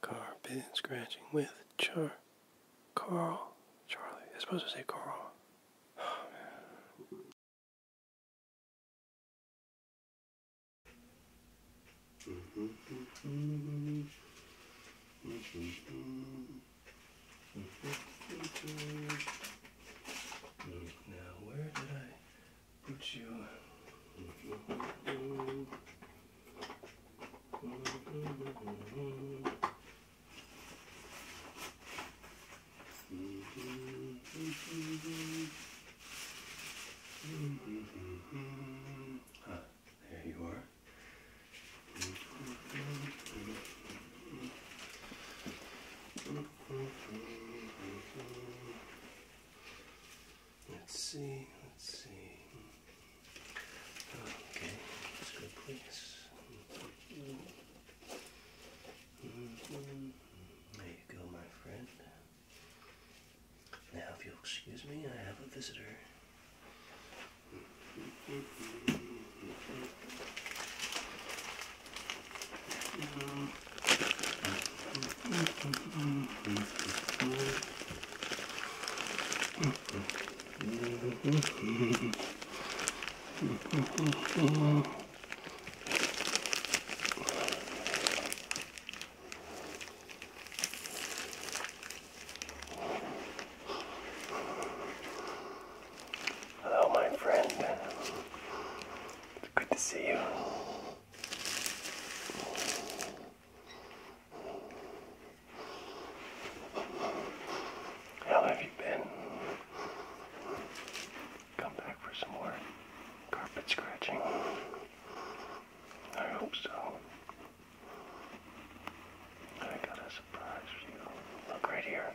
Carbon scratching with Char Carl Charlie. I supposed to say Carl. Oh, man. Mm-hmm. Mm-hmm. Mm-hmm. Now, where did I? put you huh, there you are. Let's see, let's see. Okay, There you go, my friend. Now, if you'll excuse me, I have a visitor. Mm-hmm. Hello, my friend. good to see you. How have you been? Come back for some more carpet scratching. I hope so. I got a surprise for you. Look right here.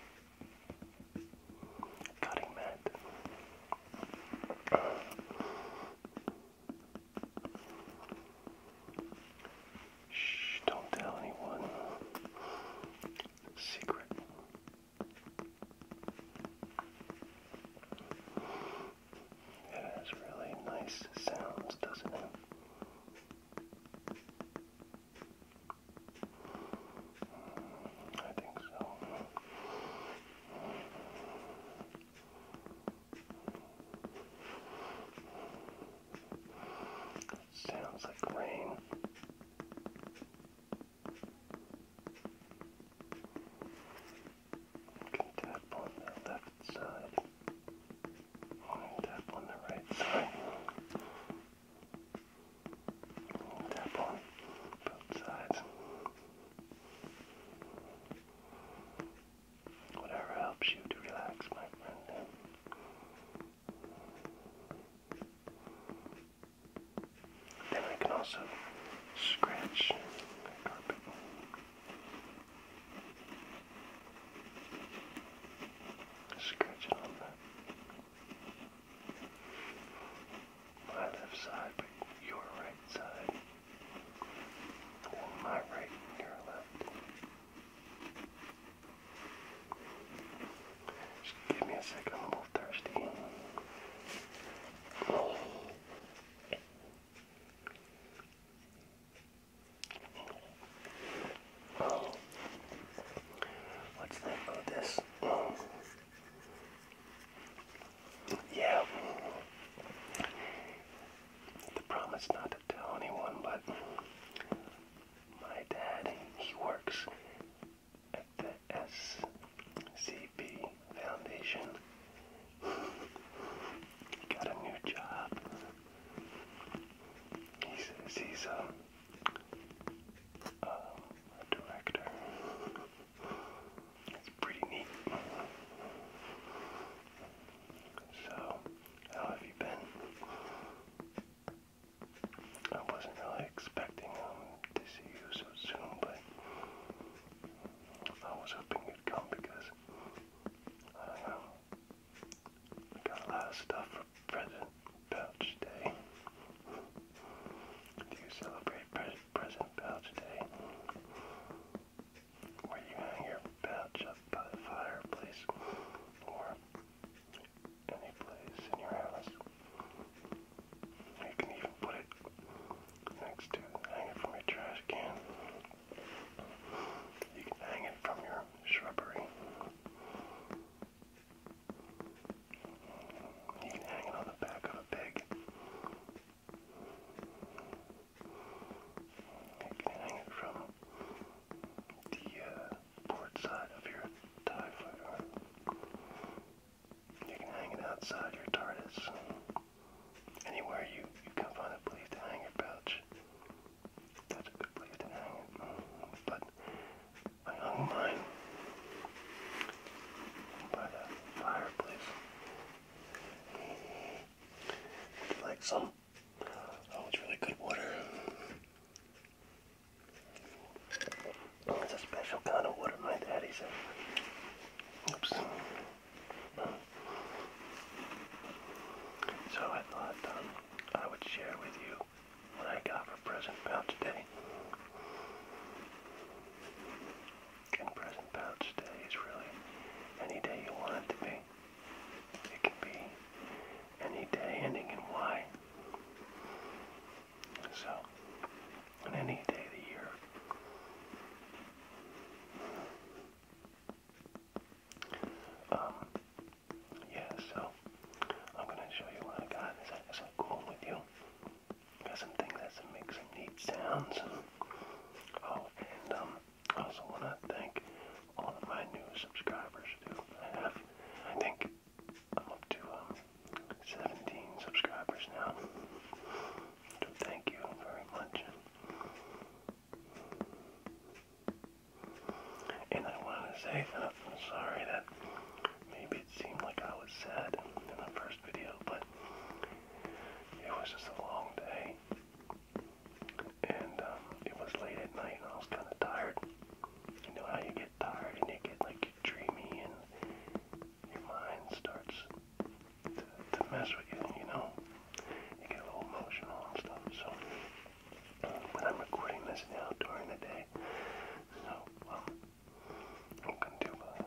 Cutting mat. Shh, don't tell anyone. Secret. It has really nice sounds, doesn't it? Mm, I think so. Sounds like rain. tap on the left side. tap on the right side. tap on both sides. Whatever helps you to relax, my friend. Then we can also scratch the carpet. Scratch it that my left side, but your right side. Or my right and your left. Just give me a second, I'm a little thirsty. What's that? Oh, this. Yeah. The promise not to tell anyone, but my dad, he works at the SCB Foundation. got a new job. He says he's um, um, a director. It's pretty neat. So, how have you been? I wasn't really expecting um, to see you so soon, but I was hoping you'd come because I um, got a lot of stuff for President Day. Do celebrate present pouch today. where you hang your pouch up by the fireplace or any place in your house. You can even put it next to hang it from your trash can. You can hang it from your shrubbery. You can hang it on the back of a pig. You can hang it from the uh, port side of your TIE fighter. You can hang it outside your TARDIS. Anywhere you, you can find a place to hang your pouch. That's a good place to hang it. Mm-hmm. But I hung mine by the fireplace would you like some? Oh, it's really good water. Oh, it's a special kind of water, my daddy said. Oops. So I thought um, I would share with you what I got for present about today and present pouch day is really any day you want it to be. It can be any day ending in Y. So, on any day of the year. Um, yeah, so I'm going to show you what I got. Is that, is that cool with you? Got some things that make some neat sounds. Oh, and um, I also want to thank all of my new subscribers I have, I think, I'm up to um, 17 subscribers now. thank you very much. And I wanted to say I'm sorry that maybe it seemed like I was sad in the first video, but it was just a long day, and um, it was late at night, and I was kind of tired. You know how you get tired and you get like dreamy, and your mind starts to, to mess with you. You know, you get a little emotional and stuff. So, but I'm recording this now during the day, so um, I'm gonna do a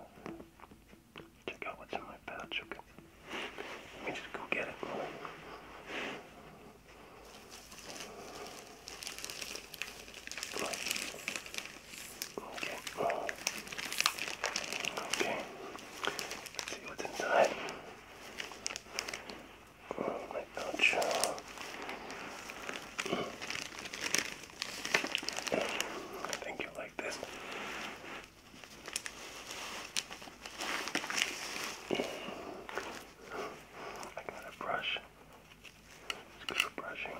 Check out what's in my pouch, Let me just go get it. Okay. Okay. see what's inside. Oh, my pouch. I think you like this. I got a brush. It's good for brushing.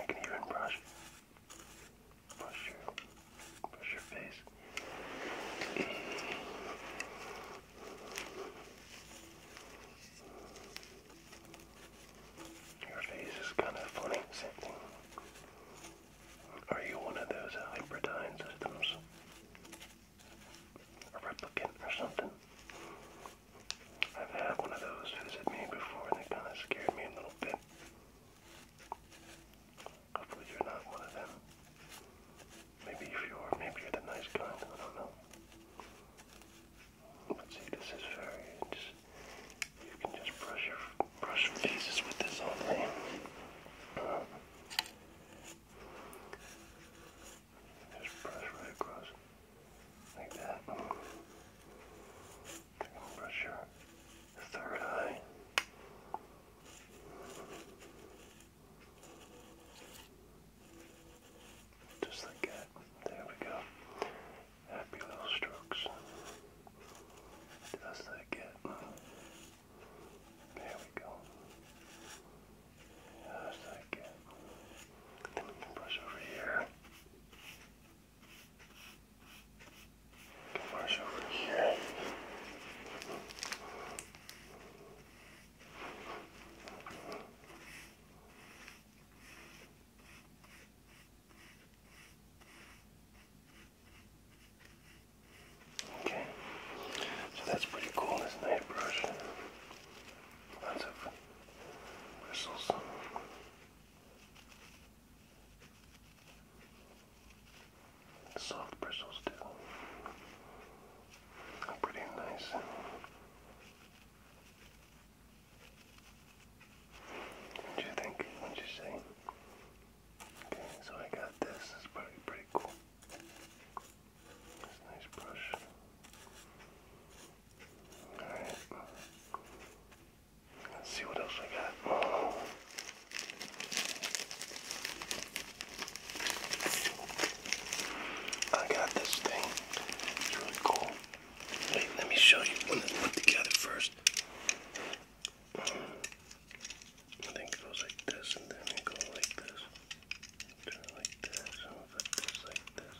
I can even brush, brush your, brush your face. Your face is kind of funny. Same Are you one of those hybridized systems? A replicant or something? I've had one of those visit me before and it kind of scared me a little bit. Hopefully you're not one of them. Maybe if you are, maybe you're the nice kind. I don't know. Let's see, this is very. Just, you can just brush your brush faces with this only. Uh, just brush right across, like that. Take a brush your third eye. Just like that. There we go. Happy little strokes. Just like it. There we go. Just like it. Then we can brush over here. brush over here. Okay, so that's pretty cool, this night brush. Lots of bristles. Soft bristles too. Pretty nice. What do you think? What you say? Okay, so I got this. It's pretty pretty cool. It's nice brush. Alright. Let's see what else I got. I got this thing. It's really cool. Wait, let me show you when it's put together first. I think it goes like this, and then it goes like this. Turn like this, and put this like this.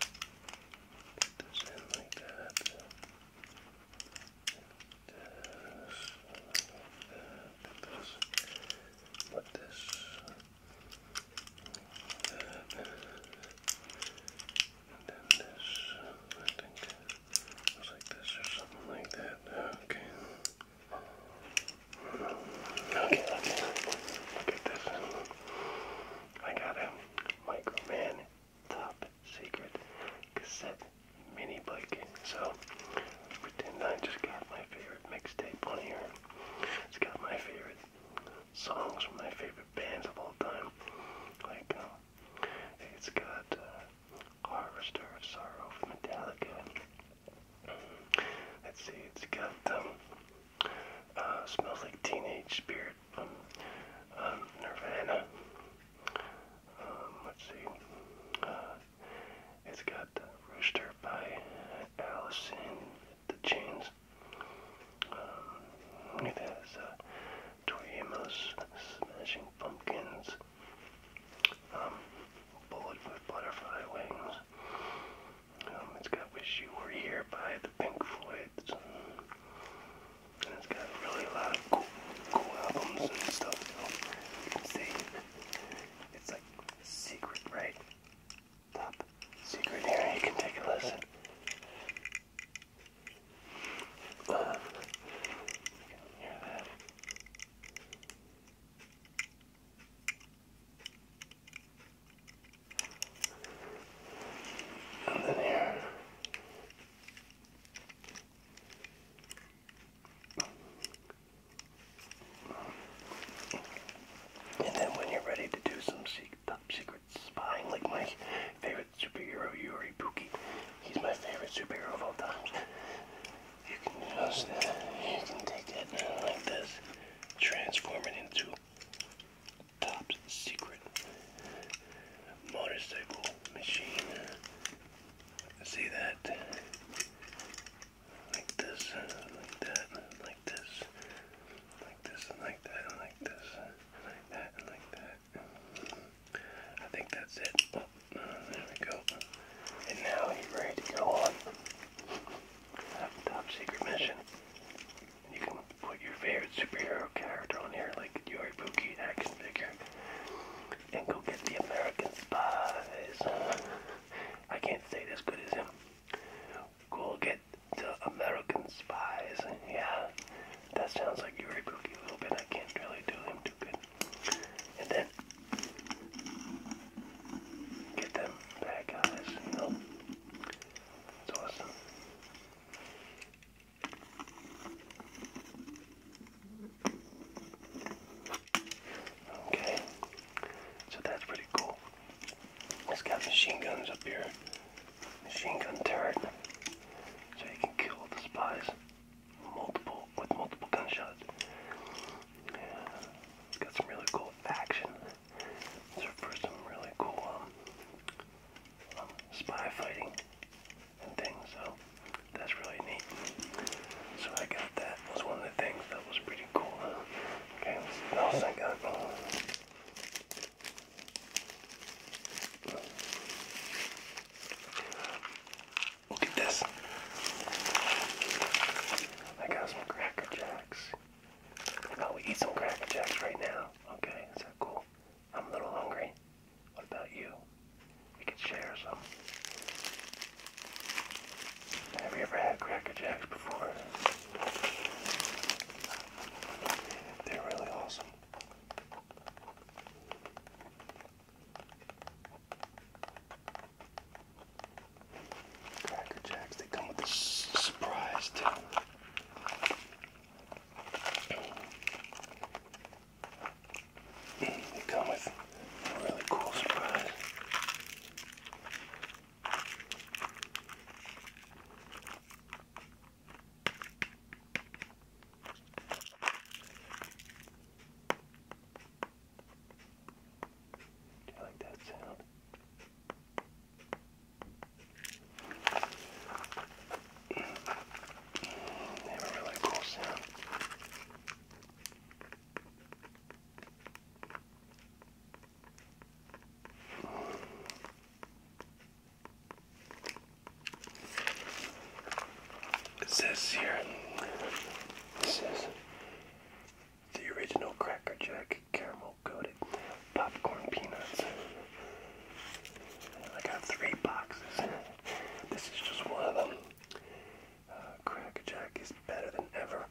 Put this in like that. Put this, put this, put this, and then this, I think it was like this or something like that. Okay. Okay, okay. Look at this. I got a Microman Top Secret Cassette Mini Bike. So, pretend I just got my favorite mixtape on here. It's got my favorite songs from my favorite bands of all time. Like, um, it's got uh, Harvester of Sorrow from Metallica. Mm-hmm. Let's see, it's got um, uh, Smells Like Teenage Spirit from um, Nirvana. let's see, uh, it's got Rooster by Allison the Chains um, it has uh, Smashing Pumpkins, um, Butterfly Wings. Um, it's got Wish You Were Here by the Pink Floyds. and it's got really a lot of cool, cool albums and stuff. you see, it's like secret, right? top secret here. You can take a listen. Uh, that. And then And then when you're ready to do some secret top secret spy, like my favorite superhero, Yuri Puki. He's my favorite superhero of all times. You can just, uh, you can take it like this, transform it into top secret motorcycle machine. See that? Like this, uh, like that, like like this, like this, and like that, and like this, like that, and like that. I think that's it. Oh, there we go. And now he's ready to go on top secret mission. You can put your favorite superhero character on here, like your Buki action figure, and go get the American Spies. I can't say it as good as him go get the American spies. Yeah, that sounds like Yuri Buki a little bit. I can't really do him too good. And then get them bad guys, you know. awesome. Okay, so that's pretty cool. It's got machine guns up here machine gun turret, so you can kill the spies multiple with multiple gunshots. got some really cool action. So for some really cool um, um, spy fighting and things, so that's really neat. So I got that. was one of the things that was pretty cool. Okay, what else I Look at this. I got some Cracker Jacks. How oh, we eat some Cracker Jacks right now. Okay, is that cool? I'm a little hungry. What about you? We could share some. Have you ever had Cracker Jacks before? They're really awesome. Cracker Jacks, they come with a surprise too. They come with a really cool surprise. Do you like that sound? have a really cool sound. It says the original Cracker Jack caramel coated popcorn peanuts. I got three boxes. This is just one of them. Uh, Cracker Jack is better than ever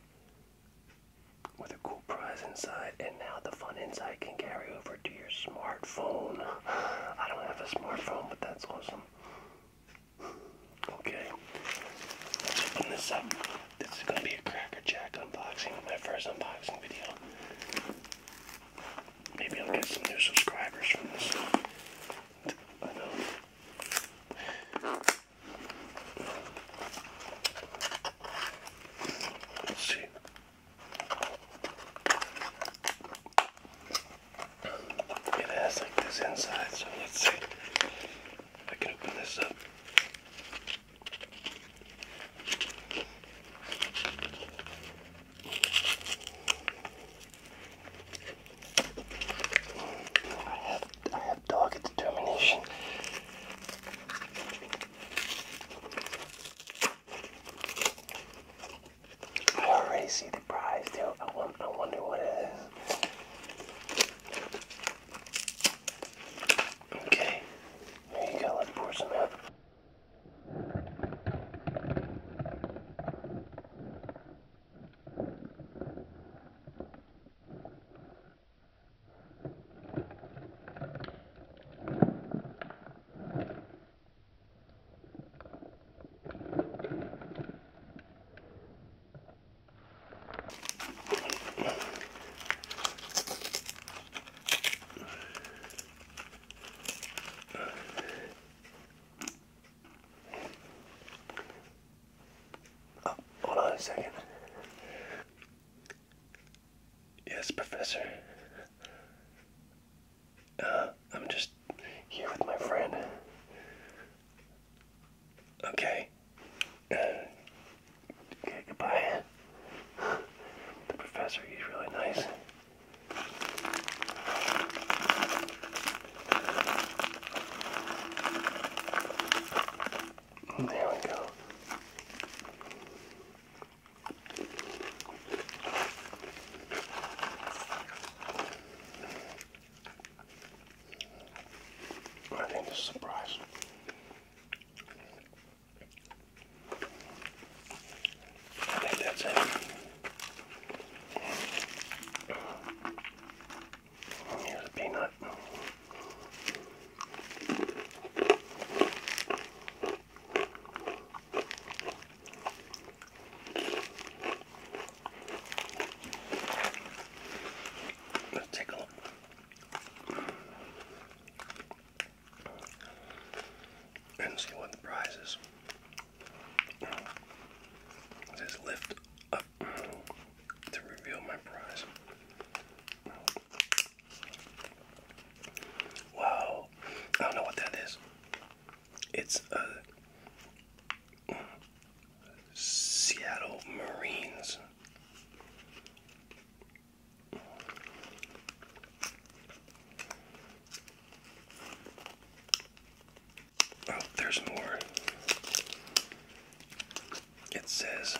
with a cool prize inside, and now the fun inside can carry over to your smartphone. I don't have a smartphone, but that's awesome. Okay, let's open this up. This is going to be a Cracker Jack unboxing, my first unboxing video. Maybe I'll get some new subscribers from this. I know. Let's see. It has like this inside, so let's see if I can open this up. I have, I have dogged determination. I already see the prize, too. I, wonder what it is. Okay, there you go. Let's pour some out. Ah, hold on a second. Yes, Professor. Uh, I'm just here with my friend. Okay. okay, uh, goodbye. The professor, he's really nice. There we go. I think it's a surprise. I think that's it. peanut. Let's take a look. And see what the prize is. It lift up to reveal my prize. Wow, I don't know what that is. It's a uh, Seattle Marines. Oh, there's more. It says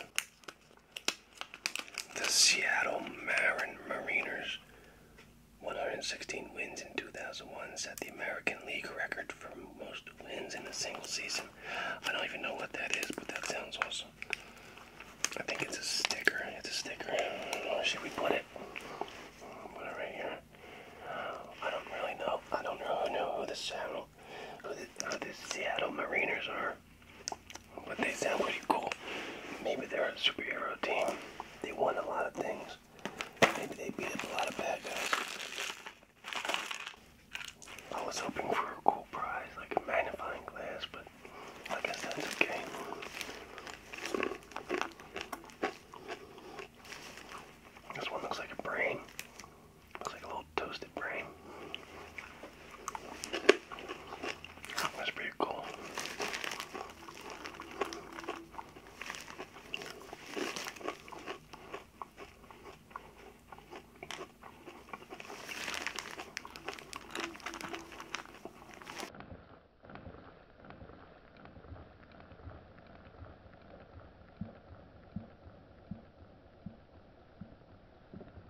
the Seattle Mariners 116 wins in 2001 set the American League record for most wins in a single season. I don't even know what that is, but that sounds awesome. I think it's a sticker. It's a sticker. should we put it? Put it right here. I don't really know. I don't know who, the Seattle, who the uh, Seattle Mariners are but they sound pretty cool. Maybe they're a superhero team. They won a lot of things. Maybe they beat up a lot of bad guys. I was hoping for a cool prize, like a magnifying glass, but I guess that's okay. This one looks like a brain. Looks like a little toasted brain. That was pretty cool.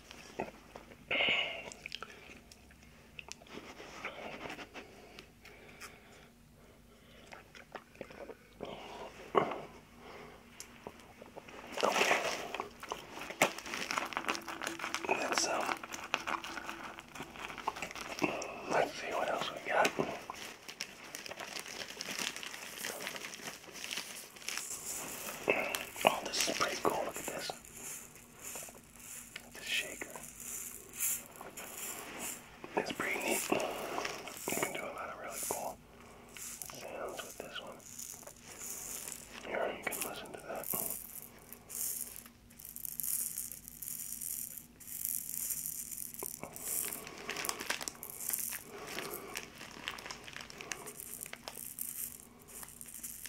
Okay. Let's um let's see what else we got. Oh, this is pretty cool. Look at this. The shaker. It's pretty neat. You can do a lot of really cool sounds with this one. Here, you can listen to that.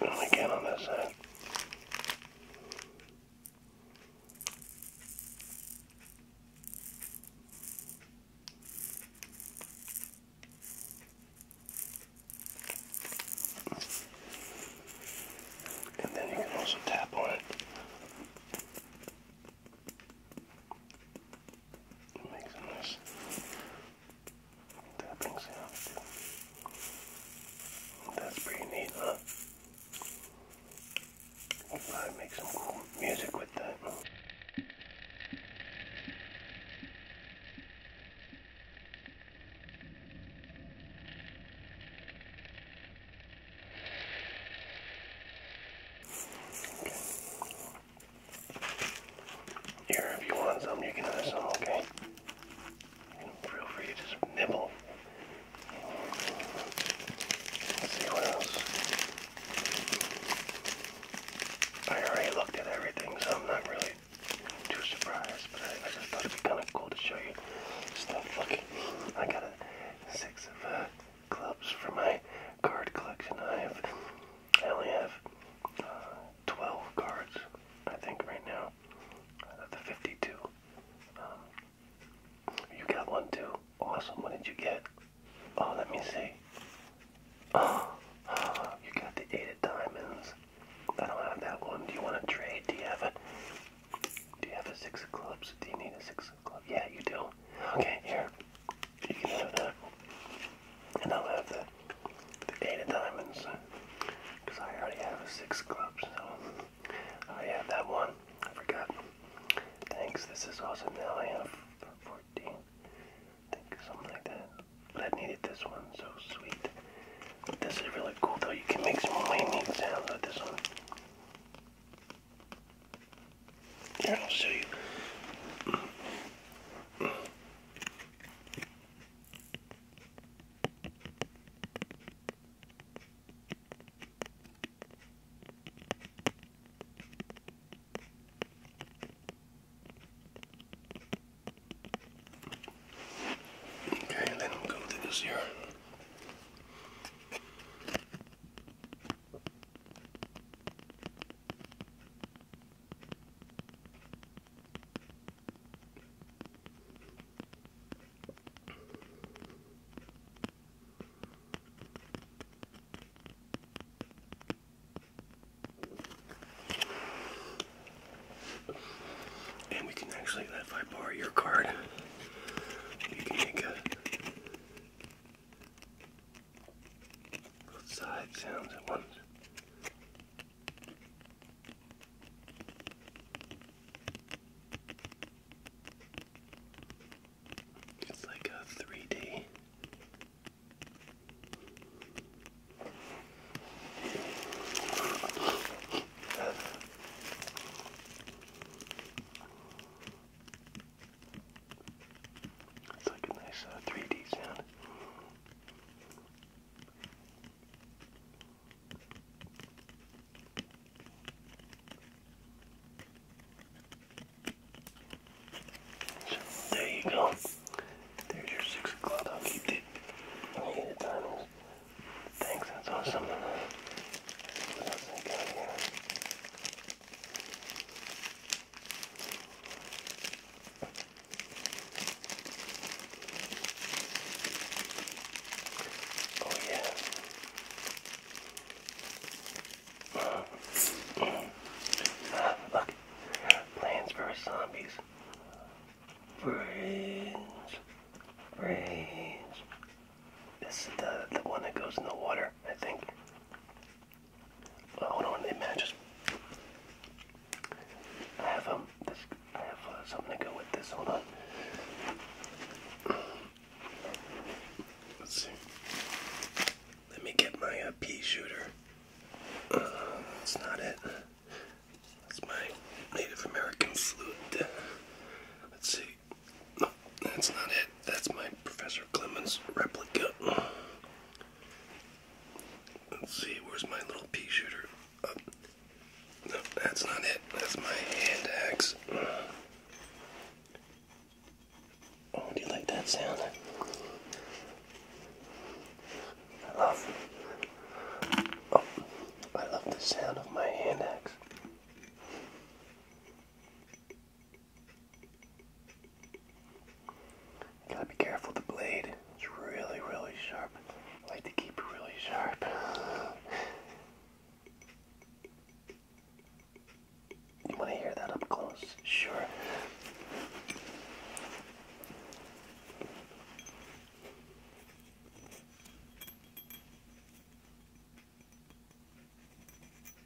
And again on this side. And then you can also tap on it. makes a nice that brings it up too. That's pretty neat, huh? You probably make some cool music with that. Here, if you want some, you can have some, okay? Feel free to just nibble. see what else. I already looked at everything, so I'm not really too surprised, but I, just thought it'd be kind of cool to show you stuff. Look, I got a six of uh, clubs for my card collection. I have, I only have uh, 12 cards I think right now, uh, the 52. Um, you got one too. Awesome. What did you get? Oh, let me see. Oh, you got the eight of diamonds. I don't have that one. Do you want to trade? Do you have it? Do you have a six of clubs? Do you need a six of clubs? Yeah, you do. Okay, here. You can have that, and I'll have the the Data Diamonds because uh, I already have a six club, so I oh, have that one. I forgot. Thanks, this is awesome. Now I have 14. think something like that. But I needed this one, so sweet. This is really cool though. You can make some really neat sounds with this one. Here, I'll show you. Okay, and then we'll go through this here. Okay. And we can actually, if I your card, you can make a both side sounds at once. It's like a three D it's like a nice 3D uh, sound. So there you go. There's your six o'clock. i I'll get Thanks, that's awesome. What else I got Oh yeah. Plans vs. Zombies. Brains, brains. This is the, the one that goes in the water, I think. Oh, hold on, it matches. I have um, I have uh, something to go with this. Hold on. Let's see. Let me get my uh, pea shooter. that's uh, not it. That's my Native American flute. Let's see. No, that's not it. That's my Professor Clemens replica. Let's see, where's my little pea shooter? no, that's not it. That's my hand axe. Oh, do you like that sound? I love. Oh, I love the sound of my hand axe gotta be careful with the blade. It's really, really sharp. like to keep it really sharp. You wanna hear that up close? Sure.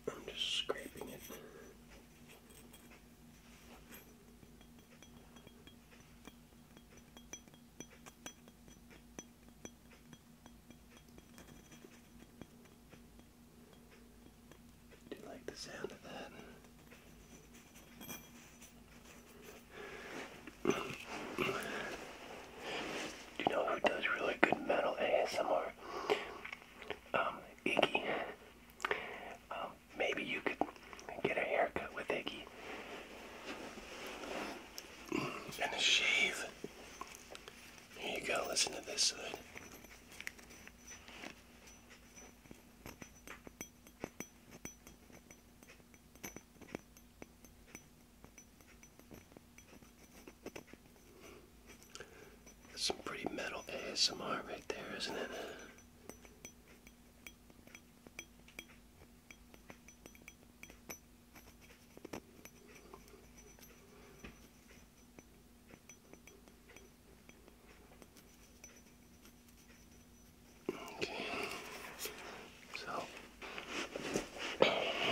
I'm just scraping it. Do you like the sound of that? Do you know who does really good metal ASMR? Um, Iggy. Um, Maybe you could get a haircut with Iggy. And a shave. Here you go, listen to this side. That's some pretty metal ASMR right there, isn't it? Okay. So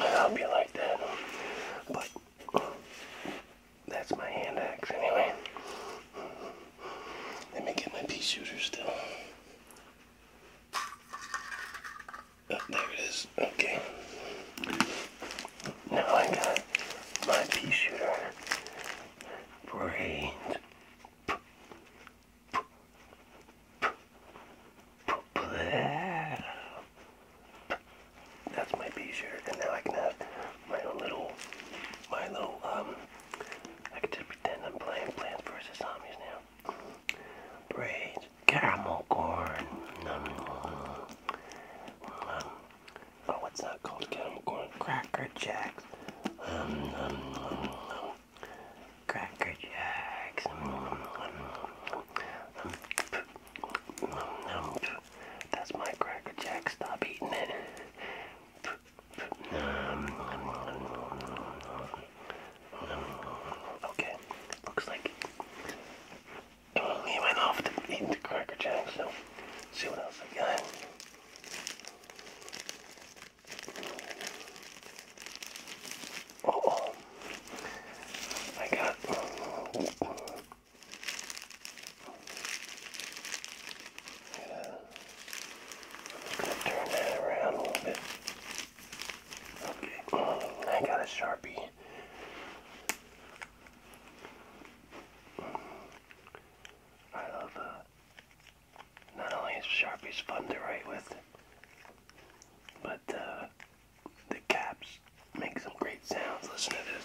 I hope you like that. But that's my hand axe anyway. Let me get my pea shooter still. Oh, there it is. Okay. Now I got my pea shooter for That's my pea shooter, and now I can have my little, my little um I can just pretend I'm playing Plants vs. Zombies now. Braids, caramel corn. oh, it's not called caramel corn. Cracker Jacks. Cracker Jacks. That's my Cracker Jack. Stop eating it. Um, okay, looks like he went off to eat the Cracker Jack, so see what else I got. Oh, I got. Uh, turn that around a little bit. Okay, I got a sharpie. I love uh, not only is Sharpies fun to write with, but uh, the caps make some great sounds. Listen to this.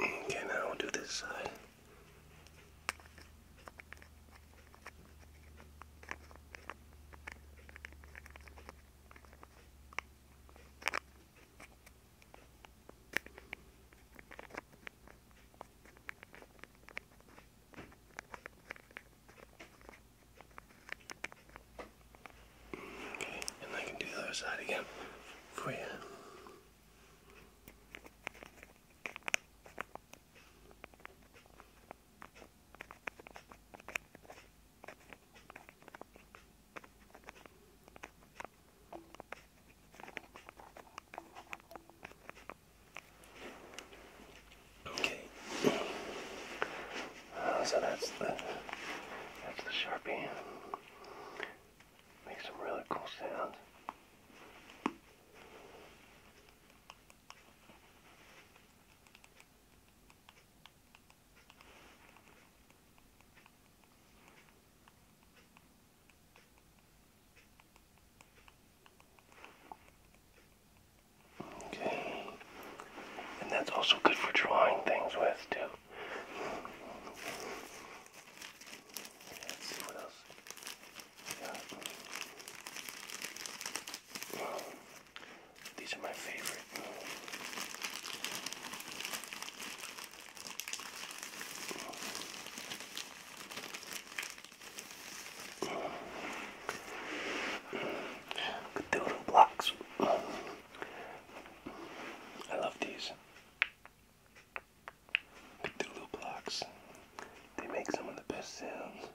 Okay, now we will do this side. Okay, and I can do the other side again for you. Okay, uh, so that's the that's the Sharpie. Makes some really cool sounds. And that's also good for drawing things with too. let's see what else. Yeah. These are my favorite. Good doodle blocks. I love these Cthulhu blocks. They make some of the best sounds.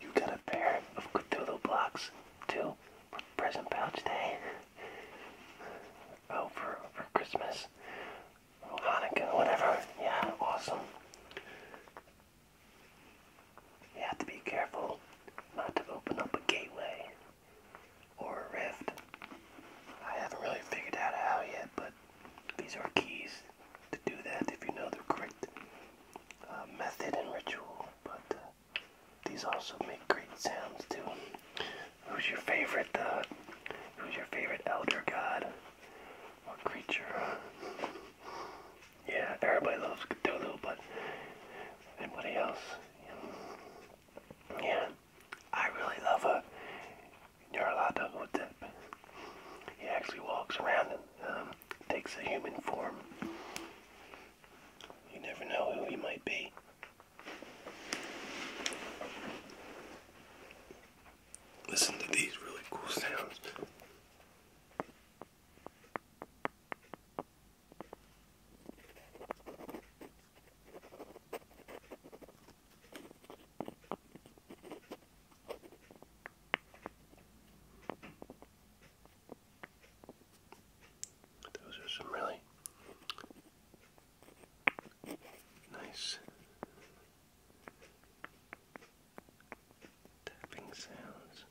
You got a pair of Cthulhu blocks too for present pouch day. Oh, for, for Christmas, Hanukkah, whatever. Yeah, awesome. You have to be careful not to open up a gateway or a rift. I haven't really figured out how yet, but these are keys to do that if you know the correct uh, method and ritual. But uh, these also make great sounds too. Who's your favorite? Uh, who's your favorite elder god or creature? Yeah, everybody loves Cthulhu, but anybody else? Yeah, I really love her. Nyarlathotep. Hotep. He actually walks around and um, takes a human form. You never know who he might be. Listen to these really cool sounds. Those are some really nice tapping sounds.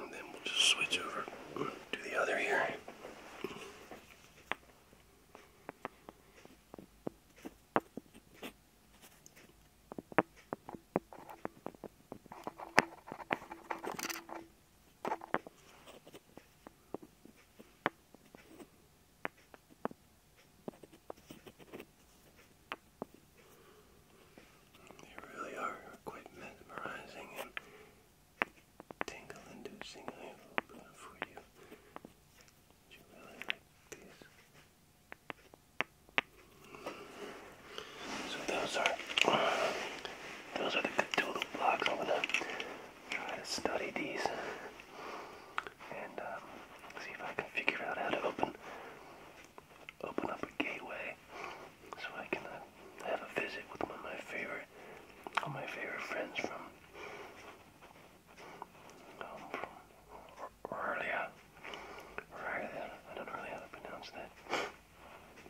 And then we'll just switch over to the other ear. They really are quite mesmerizing and tingle inducing, I hope, uh, for you. You really like these. So those are those are the Cthulhu blocks. I'm gonna try to study these and um, see if I can figure out how to open open up a gateway so I can uh, have a visit with one of my favorite, all my favorite friends from, um, earlier. from I don't really how to pronounce that.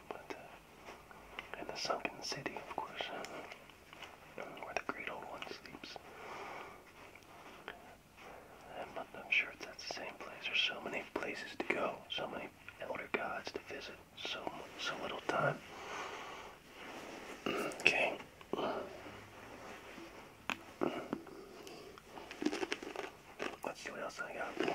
But, uh, the sunken city, of course, where the great old one sleeps. I'm not i sure it's that same place. There's so many places to go, so many elder gods to visit, so so little time. Okay. Let's see what else I got.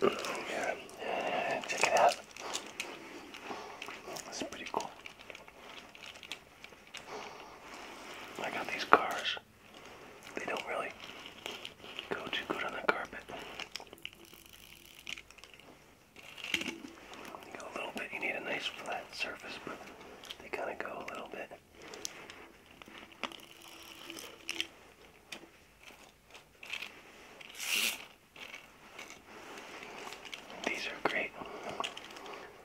Yeah, check it out. It's pretty cool. I got these cars. They don't really go too good on the carpet. go a little bit, you need a nice flat surface, but they kind of go a little bit. These are great.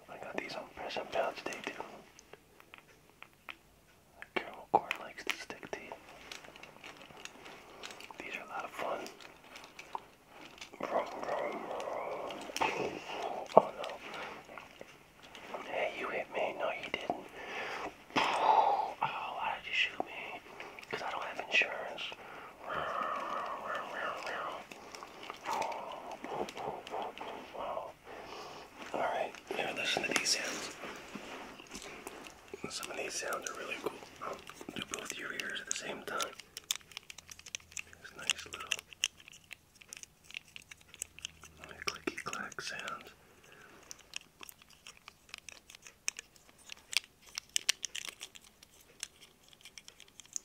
I got these on Press and too. Carol Corn likes to stick tea. These are a lot of fun. Oh no. Hey, you hit me. No, you didn't. Oh, why did you shoot me? Because I don't have insurance. Alright, now listen to these sounds. Some of these sounds are really cool. I'll um, do both your ears at the same time. It's nice little, little clicky clack sounds.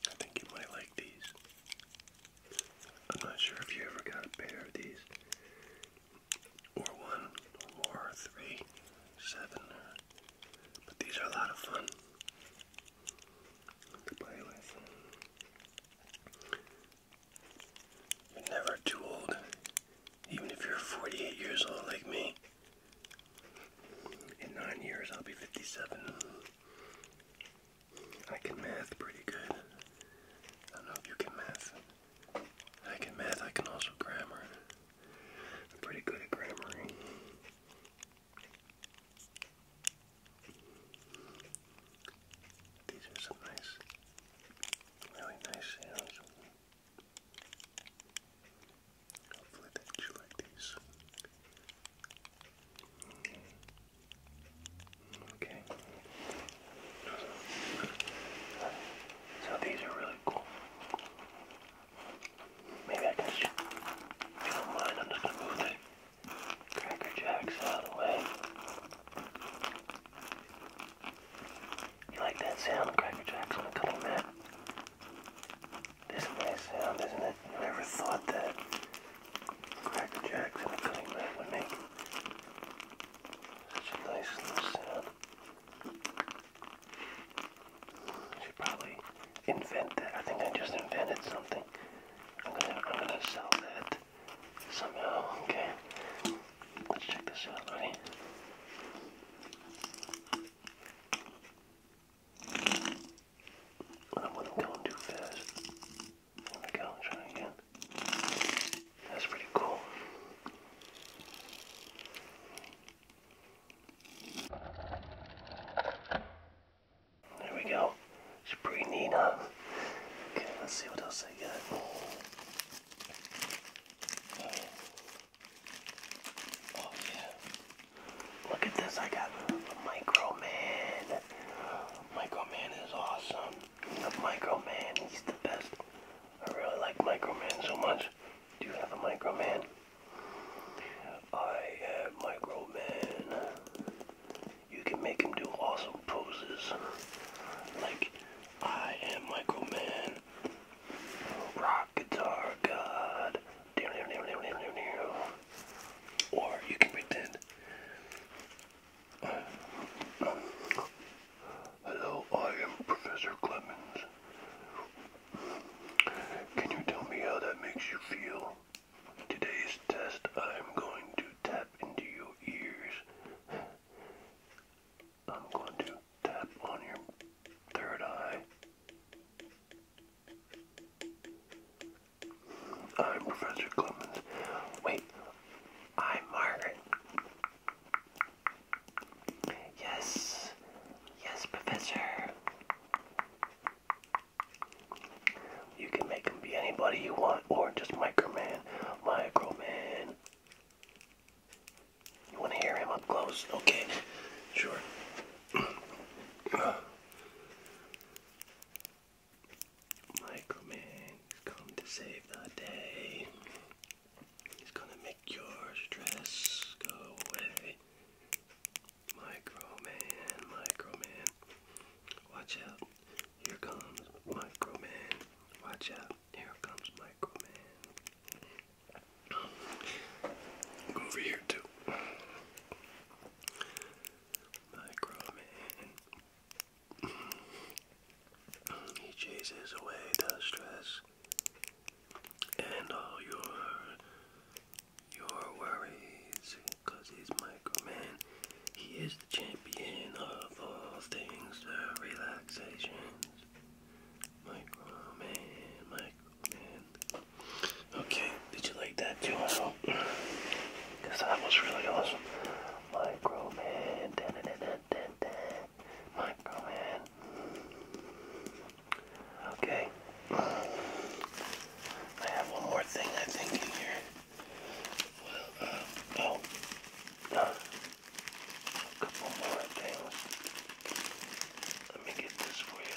I think you might like these. I'm not sure if you ever got a pair of these, or one, or three, seven, but these are a lot of fun to play You're never too old, even if you're 48 years old like me. In nine years, I'll be 57. I can math pretty good. I know you can math. I can math, I can also grammar. I'm pretty good at grammaring. These are some nice, really nice sounds. Hopefully that you like these. Okay. So these are really cool. Maybe I can, you I'm just gonna move the Cracker Jacks out of the way. You like that sound of Cracker Jacks when I cut them this makes sound, isn't it? You never thought that Cracker Jacks and a cutting knife would make such a nice little sound. should probably invent that. I think I just invented something. I'm gonna, I'm gonna sell that somehow. Okay, let's check this out, buddy. I wasn't going too fast. There we go, try again. That's pretty cool. There we go. It's pretty Okay, let's see what else I got. Oh, yeah. Look at this, I got Micro Man. Micro Man is awesome. Micro Man, he's the best. I really like Micro Man so much. Do you have a Micro Man? I have Micro Man. You can make him do awesome poses. Like, I am Micro Man. Rock Guitar God. Or you can pretend. hello, I am Professor Clemens. Can you tell me how that makes you feel? Today's test, I'm going to tap into your ears. I'm going to tap on your third eye. I'm Professor Clemens. Wait, I'm Margaret. Yes, yes, Professor. You can make him be anybody you want, or just Microman, Microman. You want to hear him up close? Okay, sure. Microman has come to save the day. He's gonna make your stress go away. Microman, Microman. Watch out. Here comes Microman. Watch out. Here comes Microman. Go over here too. Micro Man. he chases away the stress and all your your worries, he's Micro Man. He is the champion of all things uh, relaxations. Micro Man, Micro Okay, did you like that too? Because that was really awesome. Microman. Da, Okay. I have one more thing I think in here. Um, oh. Uh, a couple more things. Let me get this for you.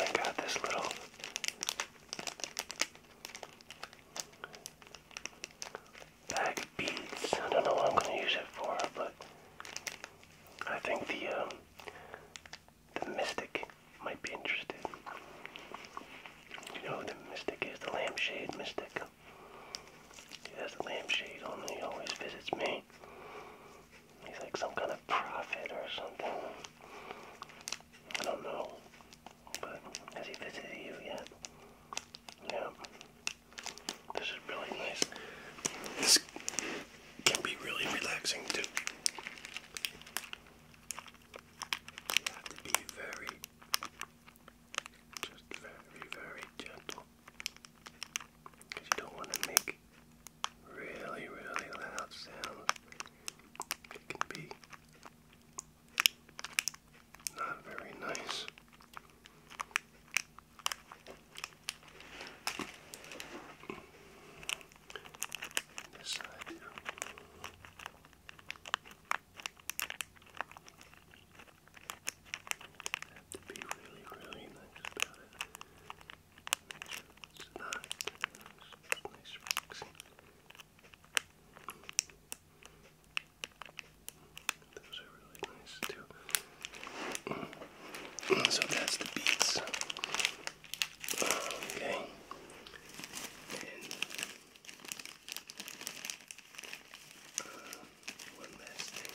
I got this little bag of beads. I don't know what I'm going to use it for, but I think the um, the mystic might be interested. You know the mystic is? The lampshade mystic. He has the lampshade on and he always visits me. He's like some kind of prophet or something. I don't know. But has he visited you yet? Yeah. This is really nice. This can be really relaxing too. You have to be very, just very, very gentle. Because you don't want to make really, really loud sounds. It can be not very nice. This side here. I have to be really, really nice about it. Make sure it's not it's nice relaxing. Mm. So that's the beats. Okay. And uh, one last thing.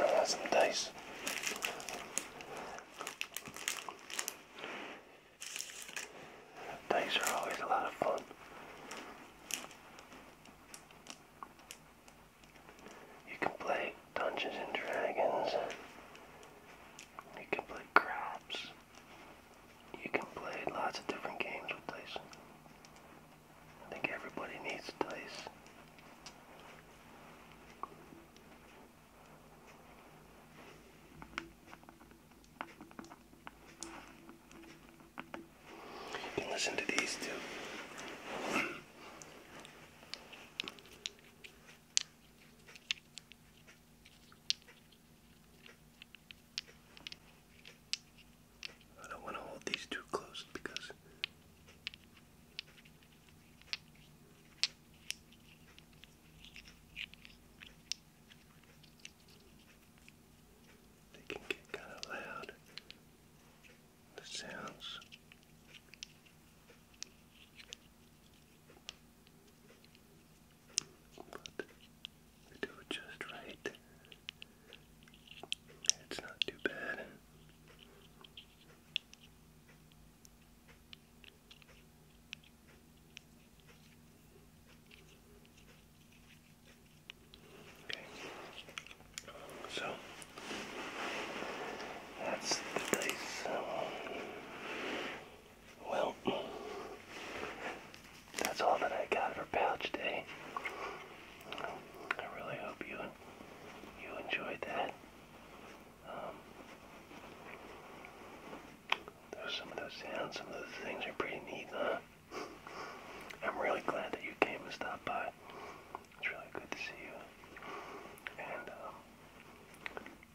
Mm. Some dice. Dice are always a lot of fun. You can play Dungeons and Dragons. You can play craps. You can play lots of different games with dice. I think everybody needs dice listen to these two. I don't want to hold these too close because they can get kind of loud, the sounds. But they do it just right. It's not too bad. Okay. So that's the dice. Well, that's all that I got for pouch day. I really hope you you enjoyed that. Um, those, some of those sounds, some of those things are pretty neat, huh? I'm really glad that you came and stopped by. It's really good to see you. And um,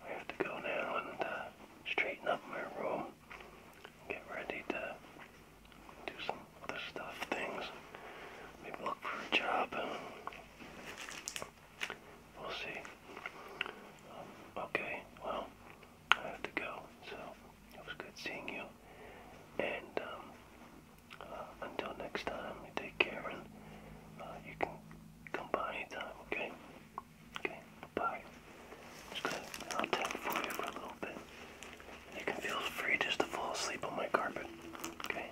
I have to go now and uh, straighten up my room, get ready to do some other stuff, things. Maybe look for a job we'll see. Um, okay, well, I have to go. So it was good seeing you. And um, uh, until next time, take care and uh, you can come by anytime, okay? Okay, bye. Just gonna, I'll tap for you for a little bit. You can feel free just to fall asleep on my carpet, okay?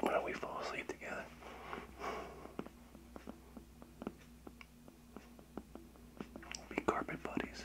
Why don't we fall asleep together? be carpet buddies.